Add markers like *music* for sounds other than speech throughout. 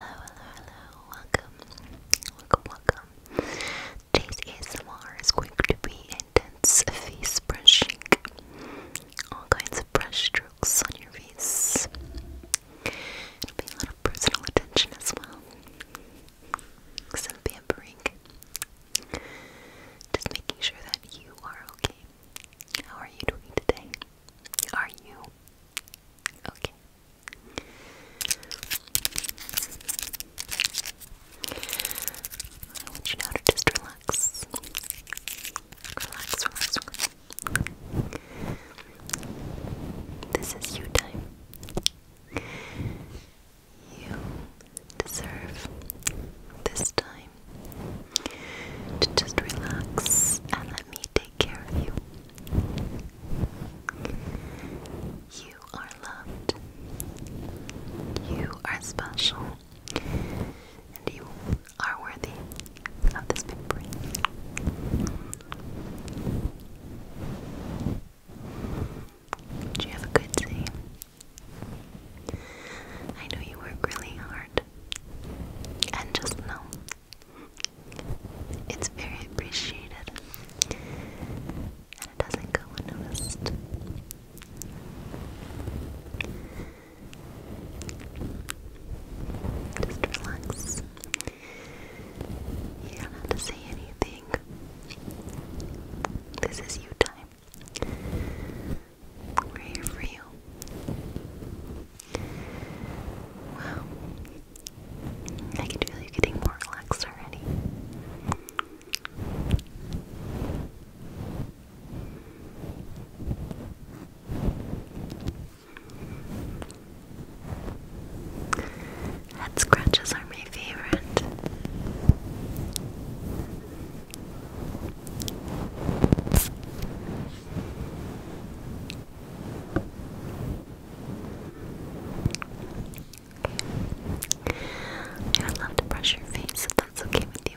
Hello, hello, hello, welcome, welcome, welcome. Today's ASMR is going to be intense face brushing, all kinds of brush strokes on your face. It'll be a lot of personal attention as well, some pampering, just making sure that you are okay. How are you doing today? Are you Okay. I want you now to just relax. Relax, relax, relax. This is you time. You deserve this time to just relax and let me take care of you. You are loved. You are special. And you are worthy of this big break. Did you have a good day? I know you work really hard. And just know it's very appreciated. And it doesn't go unnoticed. Just relax. You don't have to say anything. This is you time. We're here for you. Wow. I can feel you getting more relaxed already. Head scratches are my favorite. Okay. I love to brush your face if that's okay with you.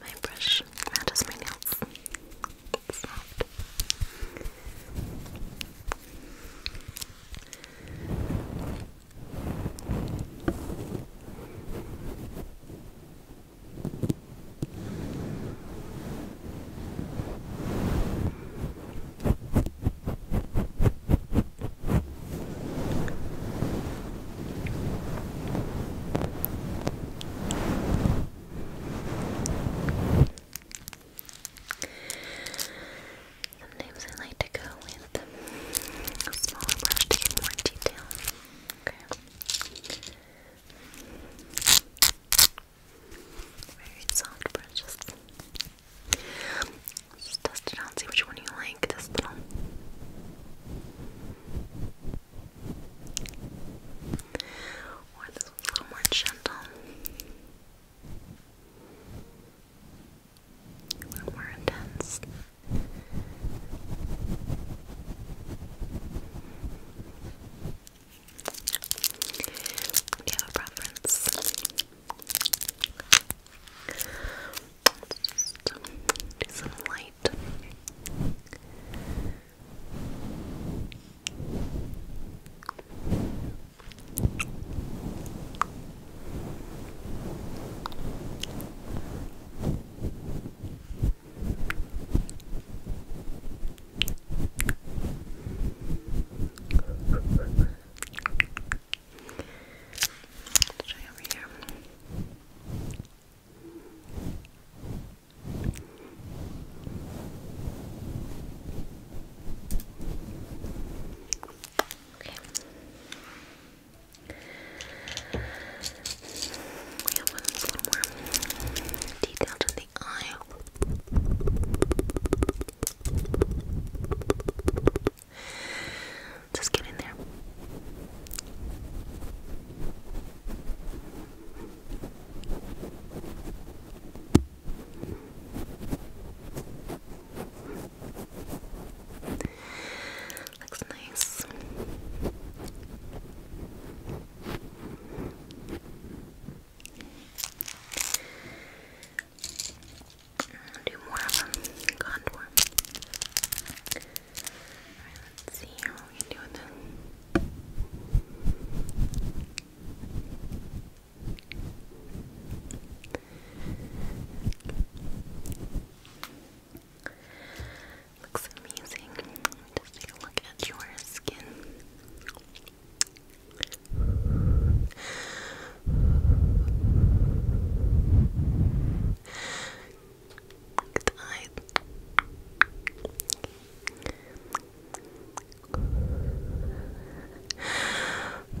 My brush matches my nails. soft. Sometimes I like to go with a smaller brush to get more detail. Okay. Very soft brushes. Just test it out, and see which one you like. This little. Or this one's a little more gentle. A little more intense. Do you have a Let's do some light. Let's try over here. Okay. We have one more detailed in the eye. Just get in there. Looks nice do more of a contour. Alright, let's see how we do with this. Looks amazing. Just take a look at your skin. Good night.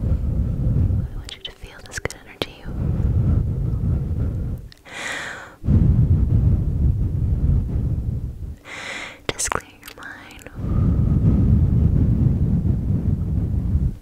I want you to feel this good energy. Just clear your mind.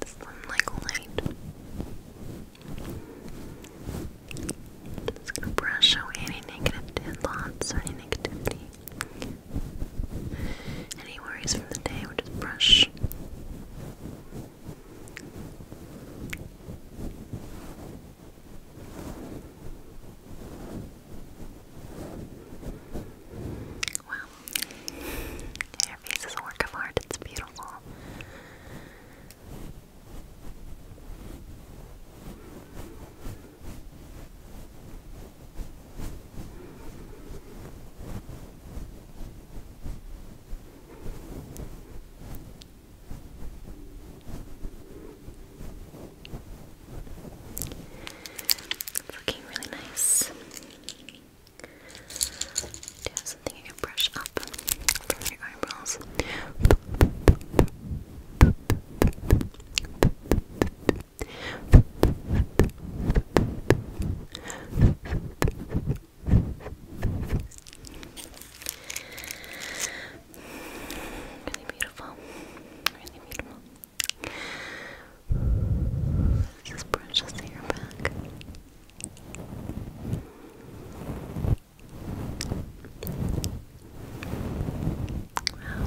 This one like light. I'm just gonna brush away any negative thoughts or any negativity. Any worries from the day, we'll just brush. Wow. Your face is a work it's beautiful. It's looking really nice. Do you have something you can brush up from your eyebrows? Really beautiful. Really beautiful. This is precious hair back. Wow.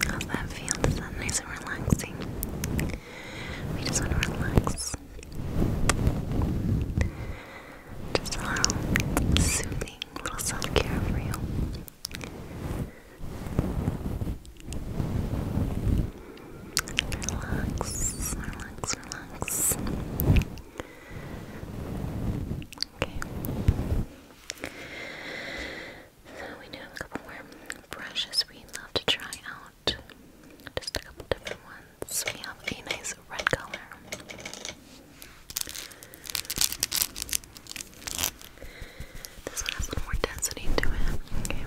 How's that feel? Is that nice and relaxing? We just want to relax. Just a little soothing, little self care for you. Relax, relax, relax. Okay. So we do have a couple more brushes we love to try out. Just a couple different ones. We have a nice red color. This one has a little more density to it. Okay.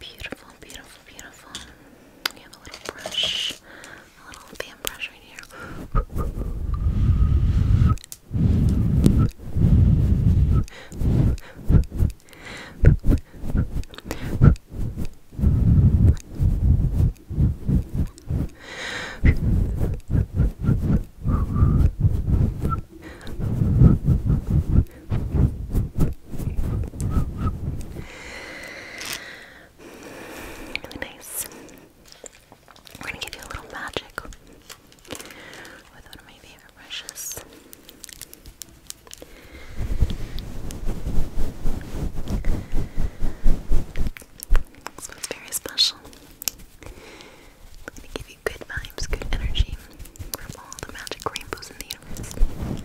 Beautiful, beautiful, beautiful. We have a little brush, a little fan brush right here. Really nice. We're gonna give you a little magic with one of my favorite brushes. very special. It's gonna give you good vibes, good energy from all the magic rainbows in the universe.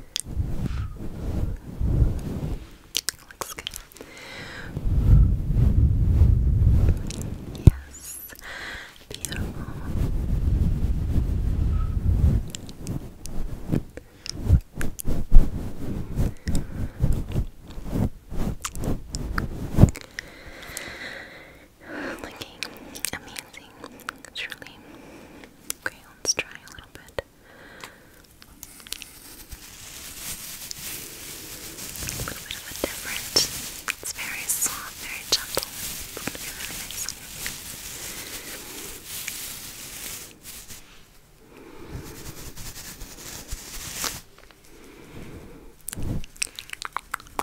Looks good. Yes. Beautiful. Looking amazing, truly Okay, let's try a little bit. A little bit of a different. It's very soft, very gentle.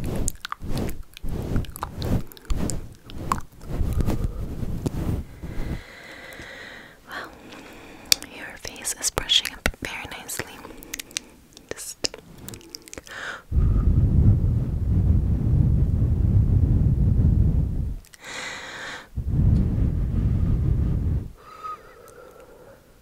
Well, your face is brushing up very nicely. Just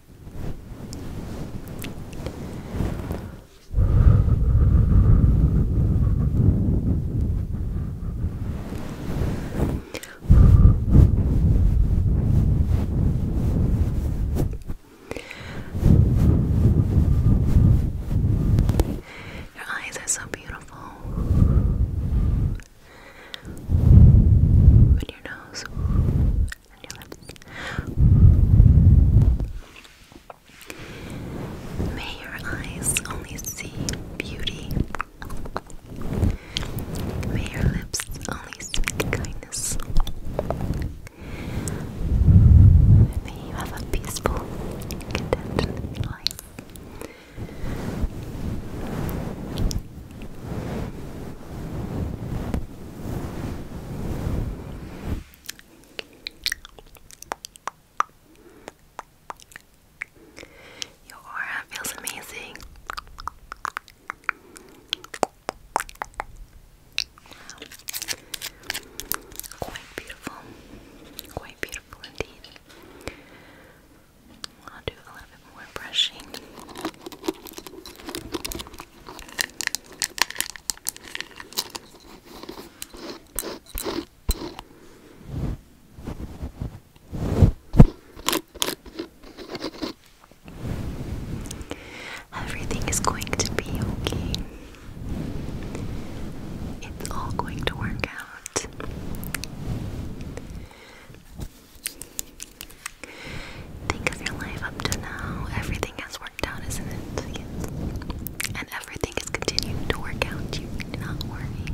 Your eyes are so beautiful and your nose and your lips. May your eyes only see beauty. May your lips only speak kindness. May you have a peaceful, contented life. Your aura feels amazing. Quite beautiful. Quite beautiful indeed. I'll do a little bit more brushing. Everything is going to be okay. It's all going to work out. Think of your life up to now. Everything has worked out, isn't it? And everything is continuing to work out. You do not worry.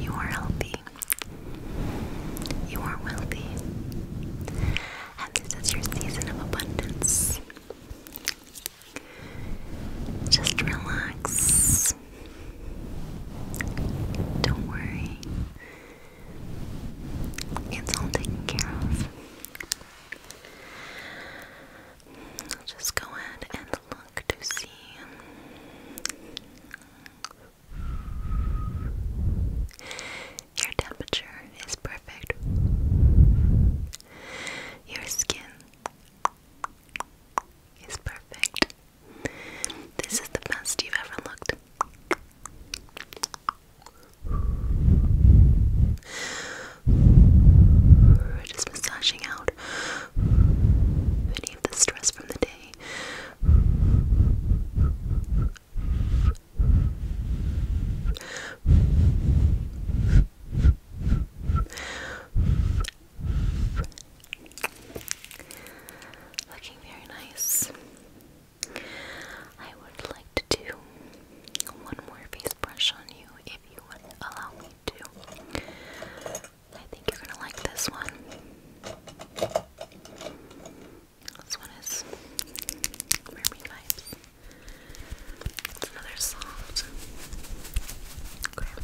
You are healthy. You are wealthy. And this is your season of abundance. Just relax. Don't worry. It's all taken care of. I'll just go ahead and look to see. Your temperature is perfect. Your skin is perfect. This is the best you've ever looked. Just massaging out any of the stress from the day. Looking very nice. I would like to do one more face brush on you if you would allow me to. I think you're gonna like this one. This one is Mermaid Vibes. It's another soft grab.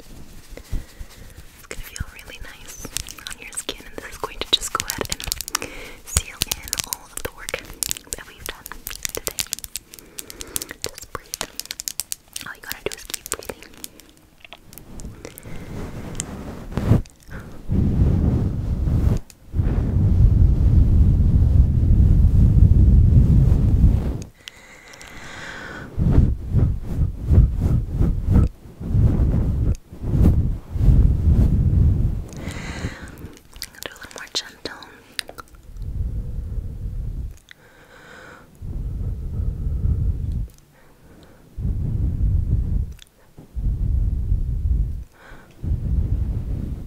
It's gonna feel really nice on your skin, and this is going to just go ahead and seal in all of the work that we've done today. Just breathe. All you gotta do is keep breathing. Do a little more gentle. Good.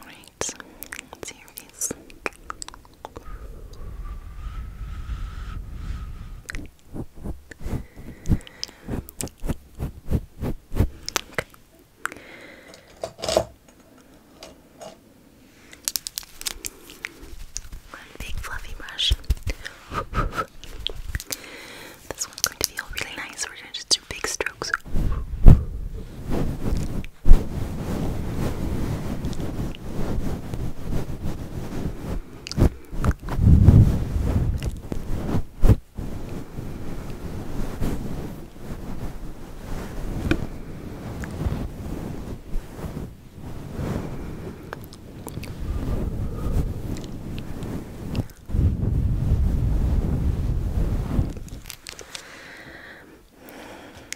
Alright, let Okay. big fluffy brush. *laughs* This one's going to feel really nice. We're gonna just do big strokes.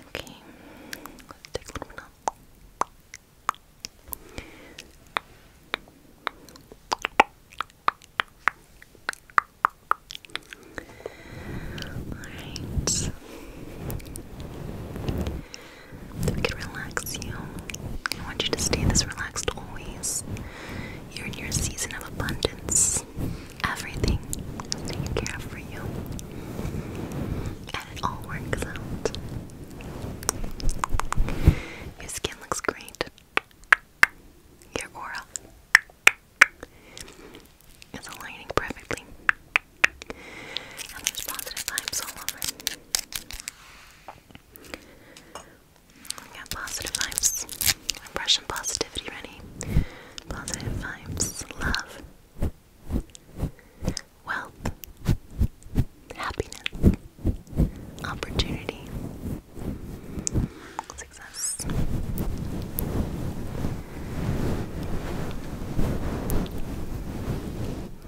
Okay, let's take a little now. Alright we could relax you. I want you to stay this relaxed always. You're in your season of abundance. Everything is taken care of for you. And it all works out. Your skin looks great. Your aura is aligning perfectly. And there's positive vibes all over. We positive vibes. Russian positivity ready. Positive vibes. Love. Wealth. Happiness. Opportunity. Success.